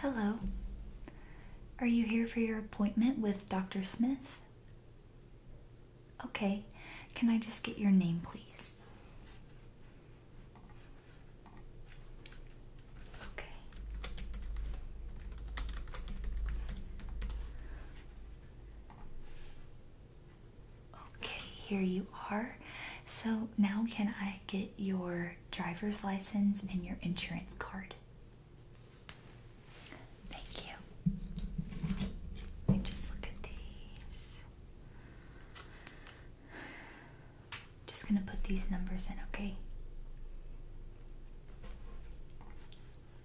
Hello. Are you here for your appointment with Dr. Smith? Okay. Can I just get your name, please? Okay. Okay, here you are. So now can I get your driver's license and your insurance card? Thank you. just look at these. Just gonna put these numbers in, okay?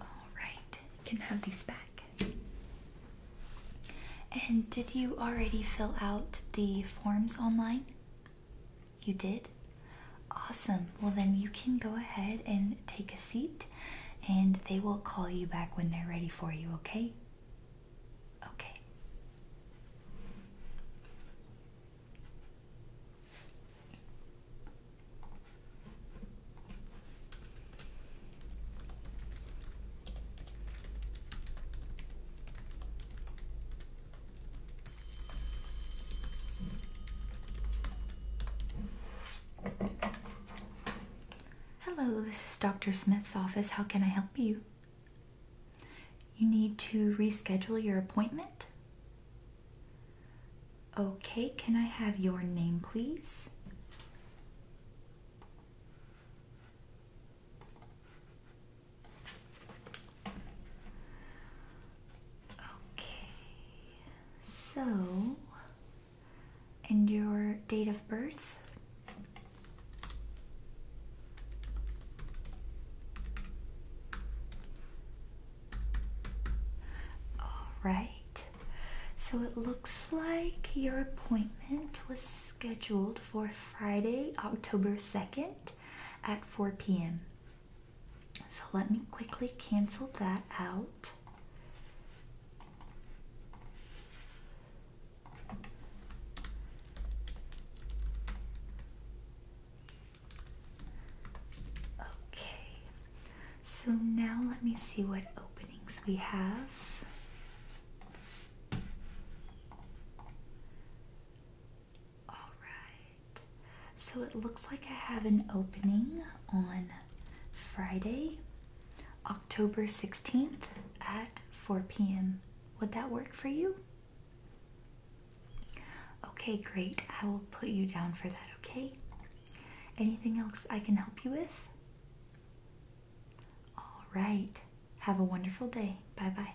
Alright, you can have these back. And did you already fill out the forms online? You did? Awesome. Well, then you can go ahead and take a seat, and they will call you back when they're ready for you, okay? Okay. Hello, this is Dr. Smith's office. How can I help you? You need to reschedule your appointment? Okay, can I have your name, please? Okay, so, and your date of birth? All right. So it looks like your appointment was scheduled for Friday, October 2nd at 4 p.m. So let me quickly cancel that out. Okay, so now let me see what openings we have. Alright, so it looks like I have an opening on Friday, October 16th at 4 p.m. Would that work for you? Okay, great. I will put you down for that, okay? Anything else I can help you with? All right. Have a wonderful day. Bye bye.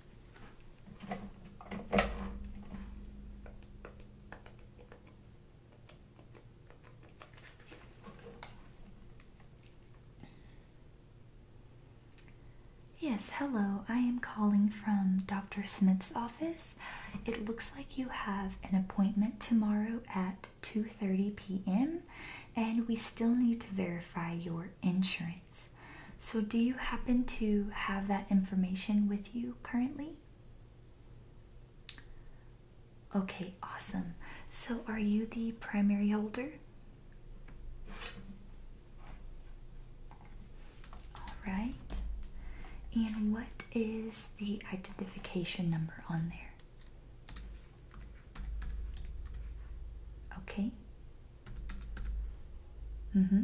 Yes, hello. I am calling from Dr. Smith's office. It looks like you have an appointment tomorrow at 2:30 p.m. and we still need to verify your insurance. So, do you happen to have that information with you currently? Okay, awesome. So, are you the primary holder? All right. And what is the identification number on there? Okay. Mm-hmm.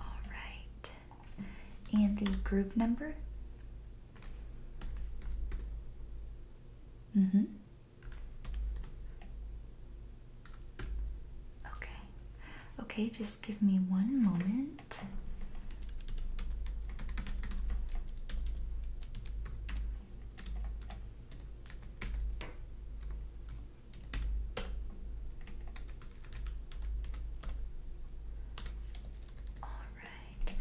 All right. And the group number? Mm-hmm. Okay. Okay, just give me one moment. All right.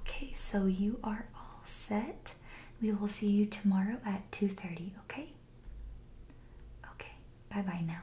Okay, so you are all set. We will see you tomorrow at 2:30, okay? Okay. Bye-bye now.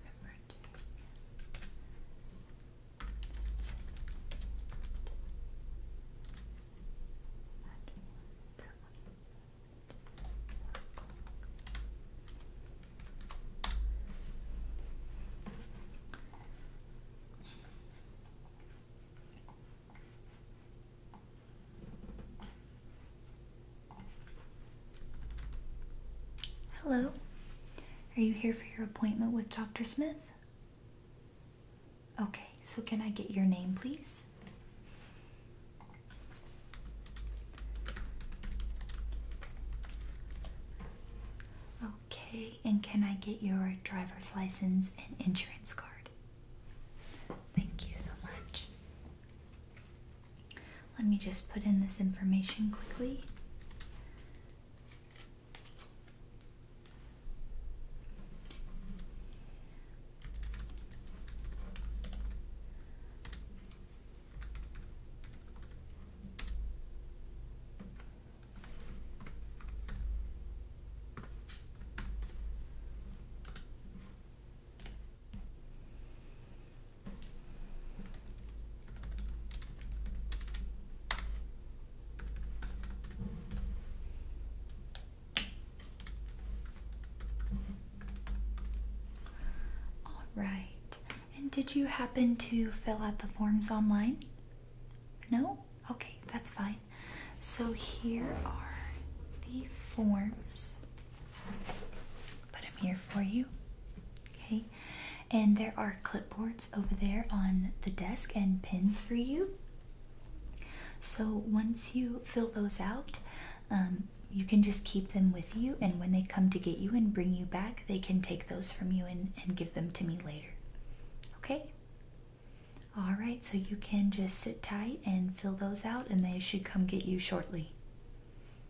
remember to that's that one, that one, Hello. Are you here for your appointment with Dr. Smith? Okay, so can I get your name, please? Okay, and can I get your driver's license and insurance card? Thank you so much. Let me just put in this information quickly. All right. And did you happen to fill out the forms online? No? Okay, that's fine. So here are the forms. But I'm here for you. Okay. And there are clipboards over there on the desk and pins for you. So once you fill those out, um, you can just keep them with you. And when they come to get you and bring you back, they can take those from you and, and give them to me later. Okay? Alright, so you can just sit tight and fill those out, and they should come get you shortly.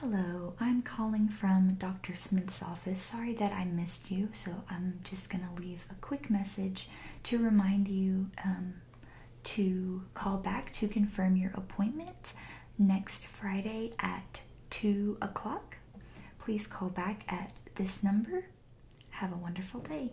Hello, I'm calling from Dr. Smith's office. Sorry that I missed you, so I'm just going to leave a quick message to remind you um, to call back to confirm your appointment next Friday at 2 o'clock. Please call back at this number. Have a wonderful day.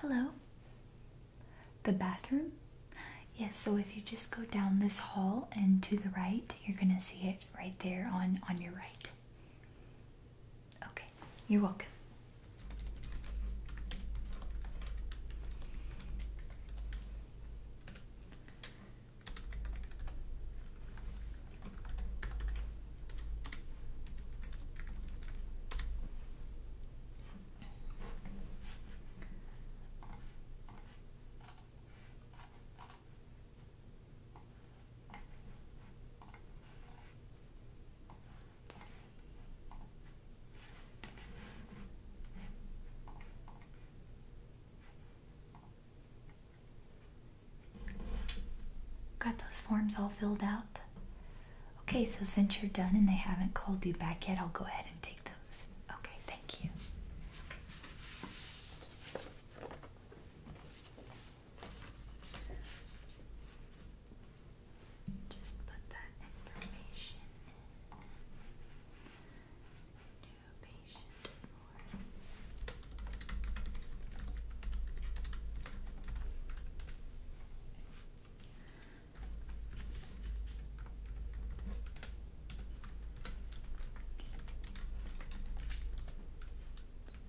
Hello? The bathroom? Yes, so if you just go down this hall and to the right, you're going to see it right there on on your right. Okay. You're welcome. Got those forms all filled out? Okay, so since you're done and they haven't called you back yet, I'll go ahead and take those. Okay, thank you. Just put that information in. New patient form.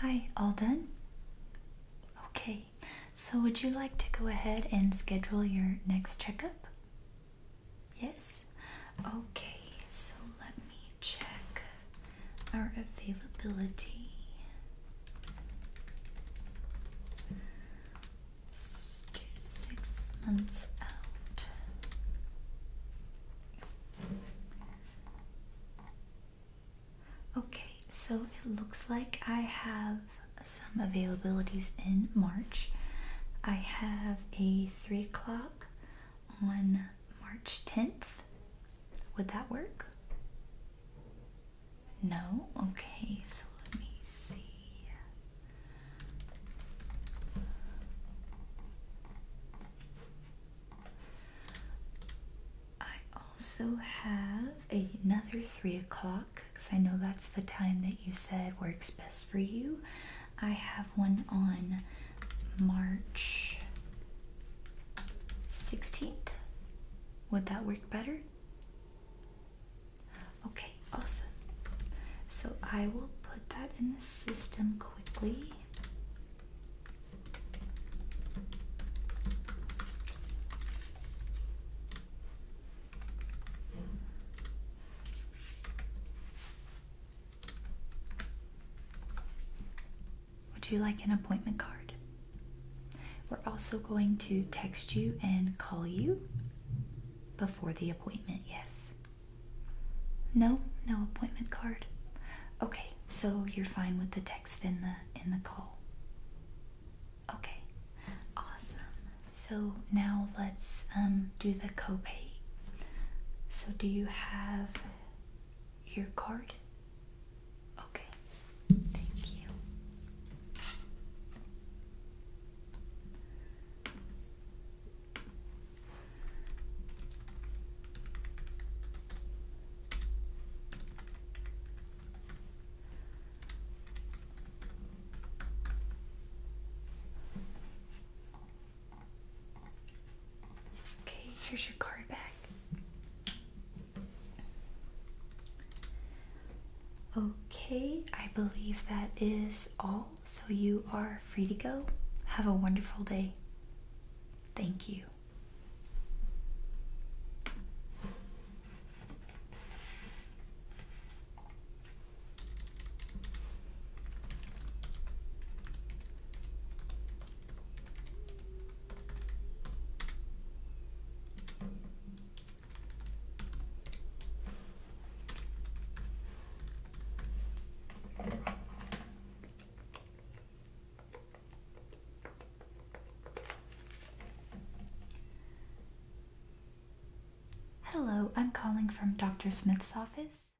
Hi, all done? Okay, so would you like to go ahead and schedule your next checkup? Yes? Okay, so let me check our availability. six months out. Okay, so it looks like I have some availabilities in March. I have a 3 o'clock on March 10th would that work? No? Okay, so let me see. I also have another 3 o'clock because I know that's the time that you said works best for you. I have one on March 16th. Would that work better? Okay, awesome. So I will put that in the system quickly. Would you like an appointment card? We're also going to text you and call you before the appointment, yes. No, no appointment card. Okay, so you're fine with the text and the in the call. Okay. Awesome. So now let's um do the copay. So do you have your card? Okay, thank you. Okay, here's your card back. Okay, I believe that is all, so you are free to go. Have a wonderful day. Thank you. Hello, I'm calling from Dr. Smith's office.